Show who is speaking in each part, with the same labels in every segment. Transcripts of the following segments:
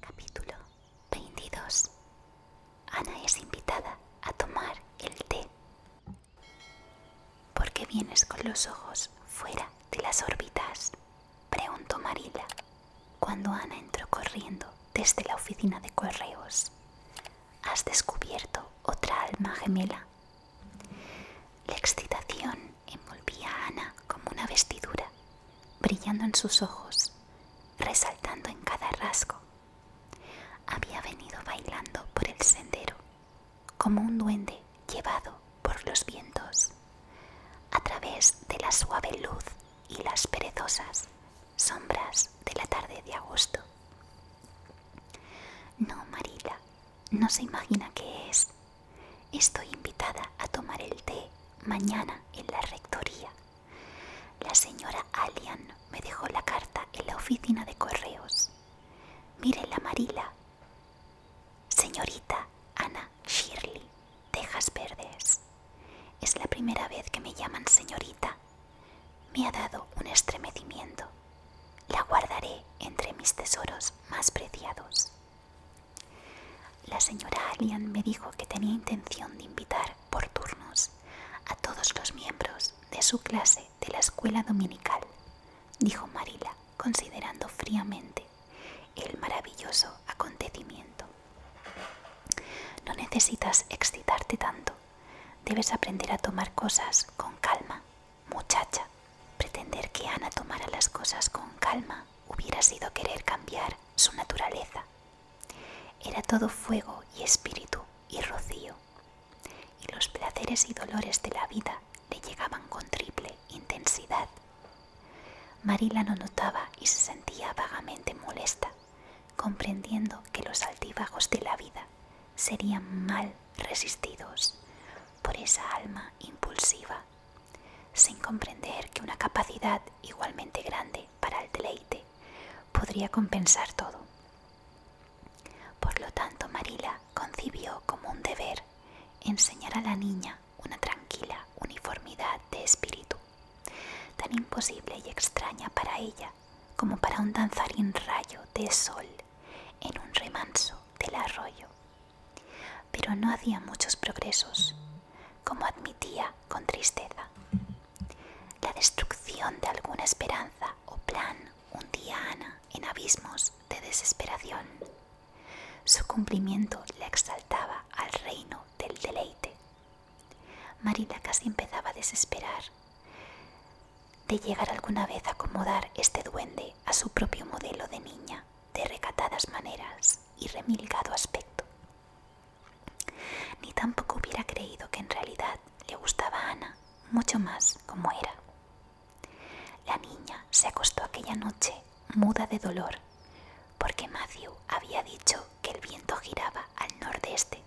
Speaker 1: Capítulo 22. Ana es invitada a tomar el té. ¿Por qué vienes con los ojos fuera de las órbitas? Preguntó Marila cuando Ana entró corriendo desde la oficina de correos. Has descubierto otra alma gemela, la excitación envolvía a Ana como una vestidura, brillando en sus ojos, resaltando en cada rasgo. Había venido bailando por el sendero, como un duende llevado por los vientos, a través de la suave luz y las perezosas sombras de la tarde de agosto. No, Marila, no se imagina qué es, Estoy invitada a tomar el té mañana en la rectoría. La señora Allian me dejó la carta en la oficina de correos. Mire la amarilla, Señorita Ana Shirley, Tejas Verdes. Es la primera vez que me llaman señorita. Me ha dado un estremecimiento. La guardaré entre mis tesoros más preciados. La señora Allian me dijo que tenía intención de invitar por turnos a todos los miembros de su clase de la escuela dominical, dijo Marila, considerando fríamente el maravilloso acontecimiento. No necesitas excitarte tanto, debes aprender a tomar cosas con calma Muchacha, pretender que Ana tomara las cosas con calma hubiera sido querer cambiar su naturaleza. Era todo fuego y espíritu y rocío, y los placeres y dolores de la vida le llegaban con triple intensidad. Marila no notaba y se sentía vagamente molesta, comprendiendo que los altibajos de la vida serían mal resistidos por esa alma impulsiva, sin comprender que una capacidad igualmente grande para el deleite podría compensar todo. Por lo tanto, Marila concibió como un deber enseñar a la niña una tranquila uniformidad de espíritu, tan imposible y extraña para ella como para un danzarín rayo de sol en un remanso del arroyo. Pero no hacía muchos progresos, como admitía con tristeza. La destrucción de alguna esperanza o plan hundía a Ana en abismos de desesperación. Su cumplimiento la exaltaba al reino del deleite. Marina casi empezaba a desesperar de llegar alguna vez a acomodar este duende a su propio modelo de niña de recatadas maneras y remilgado aspecto. Ni tampoco hubiera creído que en realidad le gustaba a Ana mucho más como era. La niña se acostó aquella noche muda de dolor, porque Matthew había dicho que el viento giraba al nordeste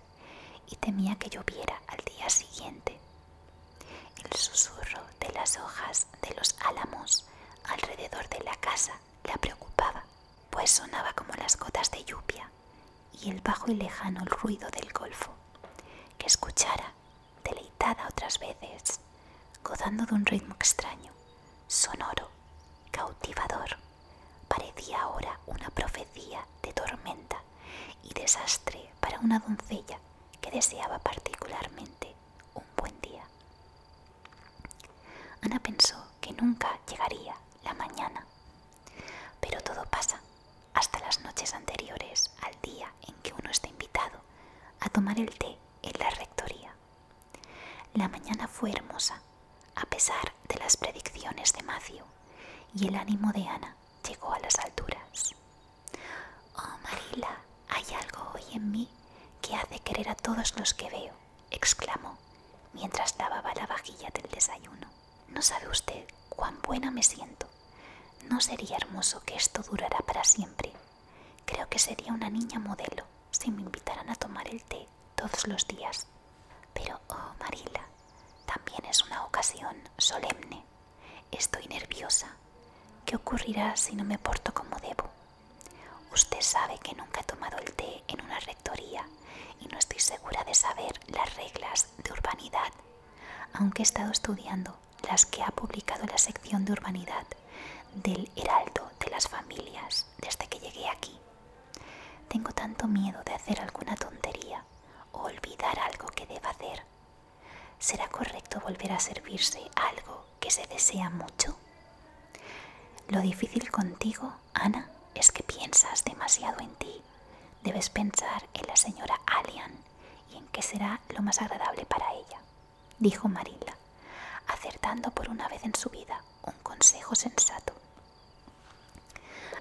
Speaker 1: y temía que lloviera al día siguiente. El susurro de las hojas de los álamos alrededor de la casa la preocupaba, pues sonaba como las gotas de lluvia y el bajo y lejano ruido del golfo, que escuchara, deleitada otras veces, gozando de un ritmo extraño, sonoro, cautivador. Parecía ahora una profecía de tormenta y desastre para una doncella que deseaba particularmente un buen día. Ana pensó que nunca llegaría la mañana, pero todo pasa hasta las noches anteriores al día en que uno está invitado a tomar el té en la rectoría. La mañana fue hermosa, a pesar de las predicciones de Matthew, y el ánimo de Ana llegó a las alturas. Oh, Marila, hay algo hoy en mí que hace querer a todos los que veo, exclamó, mientras lavaba la vajilla del desayuno. No sabe usted cuán buena me siento. No sería hermoso que esto durara para siempre. Creo que sería una niña modelo si me invitaran a tomar el té todos los días. Pero, oh Marila, también es una ocasión solemne. Estoy nerviosa ¿Qué ocurrirá si no me porto como debo? Usted sabe que nunca he tomado el té en una rectoría y no estoy segura de saber las reglas de urbanidad, aunque he estado estudiando las que ha publicado la sección de urbanidad del Heraldo de las Familias desde que llegué aquí. Tengo tanto miedo de hacer alguna tontería o olvidar algo que deba hacer ¿Será correcto volver a servirse algo que se desea mucho? Lo difícil contigo, Ana, es que piensas demasiado en ti. Debes pensar en la señora Allian y en qué será lo más agradable para ella, dijo Marila, acertando por una vez en su vida un consejo sensato.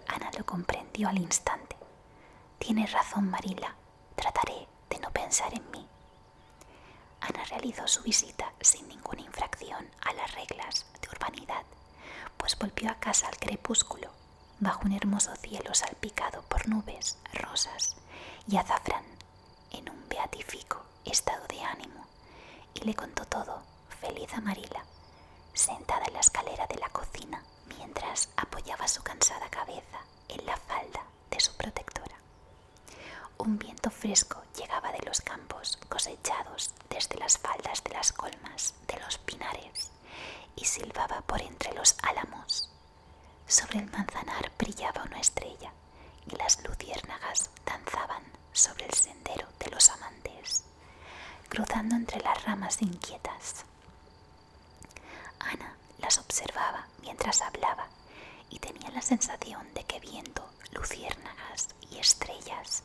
Speaker 1: Ana lo comprendió al instante. Tienes razón, Marila. Trataré de no pensar en mí Ana realizó su visita sin ninguna infracción a las reglas de urbanidad, pues volvió a casa al crepúsculo, bajo un hermoso cielo salpicado por nubes, rosas y azafrán, en un beatífico estado de ánimo, y le contó todo, feliz Marila sentada en la escalera de la cocina, mientras apoyaba su cansada cabeza en la falda de su protectora. Un viento fresco llegaba de los campos cosechados desde las faldas de las colmas de los pinares y silbaba por entre los álamos. Sobre el manzanar brillaba una estrella y las luciérnagas danzaban sobre el sendero de los amantes, cruzando entre las ramas inquietas. Ana las observaba mientras hablaba y tenía la sensación de que viento, luciérnagas y estrellas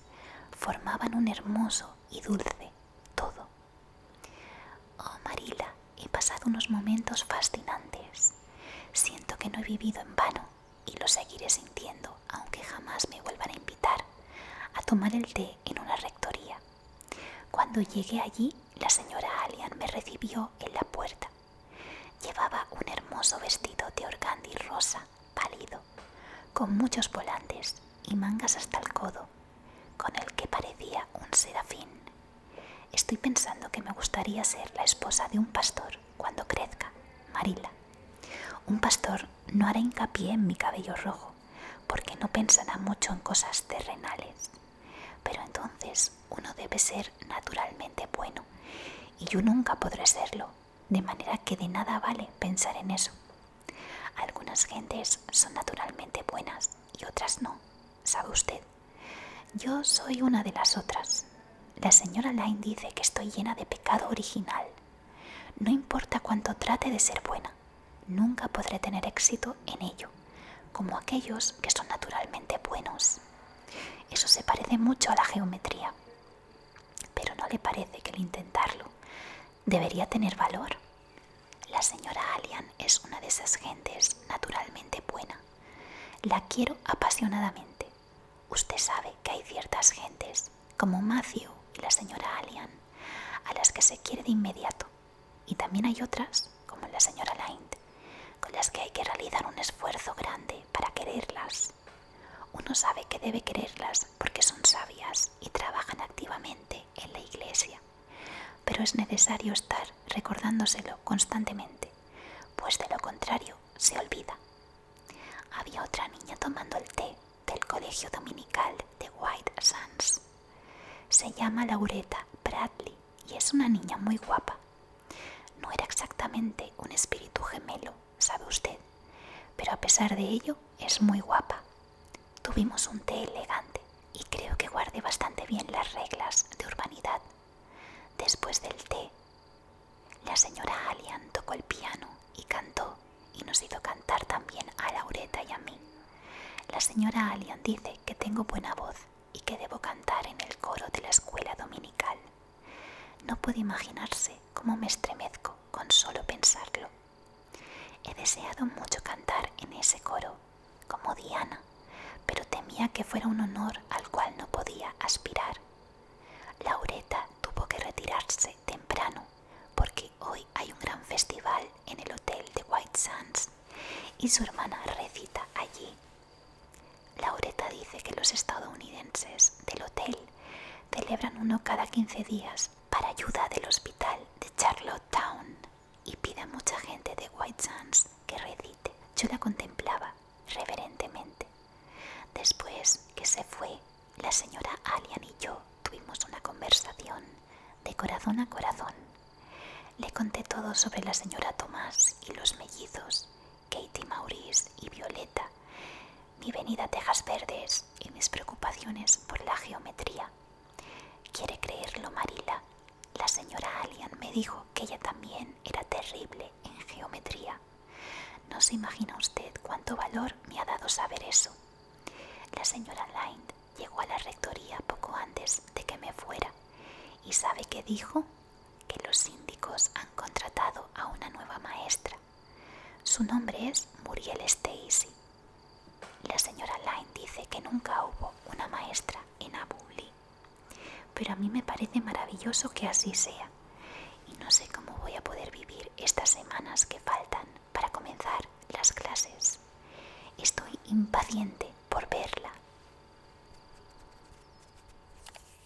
Speaker 1: formaban un hermoso y dulce todo. Oh Marila, he pasado unos momentos fascinantes. Siento que no he vivido en vano y lo seguiré sintiendo aunque jamás me vuelvan a invitar a tomar el té en una rectoría. Cuando llegué allí, la señora Allian me recibió en la puerta Llevaba un hermoso vestido de organdi rosa, pálido, con muchos volantes y mangas hasta el codo, con el que parecía un serafín. Estoy pensando que me gustaría ser la esposa de un pastor cuando crezca, Marila. Un pastor no hará hincapié en mi cabello rojo, porque no pensará mucho en cosas terrenales. Pero entonces uno debe ser naturalmente bueno y yo nunca podré serlo, de manera que de nada vale pensar en eso. Algunas gentes son naturalmente buenas y otras no, sabe usted. Yo soy una de las otras. La señora Line dice que estoy llena de pecado original. No importa cuánto trate de ser buena, nunca podré tener éxito en ello como aquellos que son naturalmente buenos. Eso se parece mucho a la geometría, pero no le parece que el intentarlo debería tener valor. La señora Allian es una de esas gentes naturalmente buena. La quiero apasionadamente. Usted sabe que hay ciertas gentes, como Matthew y la señora Allian, a las que se quiere de inmediato. Y también hay otras como la señora Lind, con las que hay que realizar un esfuerzo grande para quererlas. Uno sabe que debe quererlas porque son sabias y trabajan activamente en la iglesia, pero es necesario estar recordándoselo constantemente, pues de lo contrario se olvida. Había otra niña tomando el té del colegio dominical de White Sands. Se llama Laureta Bradley y es una niña muy guapa. No era exactamente un espíritu gemelo, sabe usted, pero a pesar de ello es muy guapa. Tuvimos un té elegante y creo que guardé bastante bien las reglas de urbanidad. Después del té, la señora Allian tocó el piano y cantó y nos hizo cantar también a Laureta y a mí. La señora Allian dice que tengo buena voz y que debo cantar en el coro de la escuela dominical. No puede imaginarse cómo me estremezco con solo pensarlo. He deseado mucho cantar en ese coro, como Diana, pero temía que fuera un honor al cual no podía aspirar. Laureta tuvo que retirarse temprano porque hoy hay un gran festival en el hotel de White Sands y su hermana recita allí Laureta dice que los estadounidenses del hotel celebran uno cada 15 días para ayuda del hospital de Charlottetown y pide a mucha gente de White Sands que recite. Yo la contemplaba reverentemente. Después que se fue, la señora Allian y yo tuvimos una conversación de corazón a corazón. Le conté todo sobre la señora Tomás y los mellizos Katie Maurice y Violeta, mi venida a Tejas Verdes y mis preocupaciones por la geometría. ¿Quiere creerlo, Marila? La señora Allian me dijo que ella también era terrible en geometría. No se imagina usted cuánto valor me ha dado saber eso. La señora Lind llegó a la rectoría poco antes de que me fuera. ¿Y sabe qué dijo? que los síndicos han contratado a una nueva maestra. Su nombre es Muriel Stacy. La señora Lyne dice que nunca hubo una maestra en Abuli, pero a mí me parece maravilloso que así sea y no sé cómo voy a poder vivir estas semanas que faltan para comenzar las clases. Estoy impaciente por verla.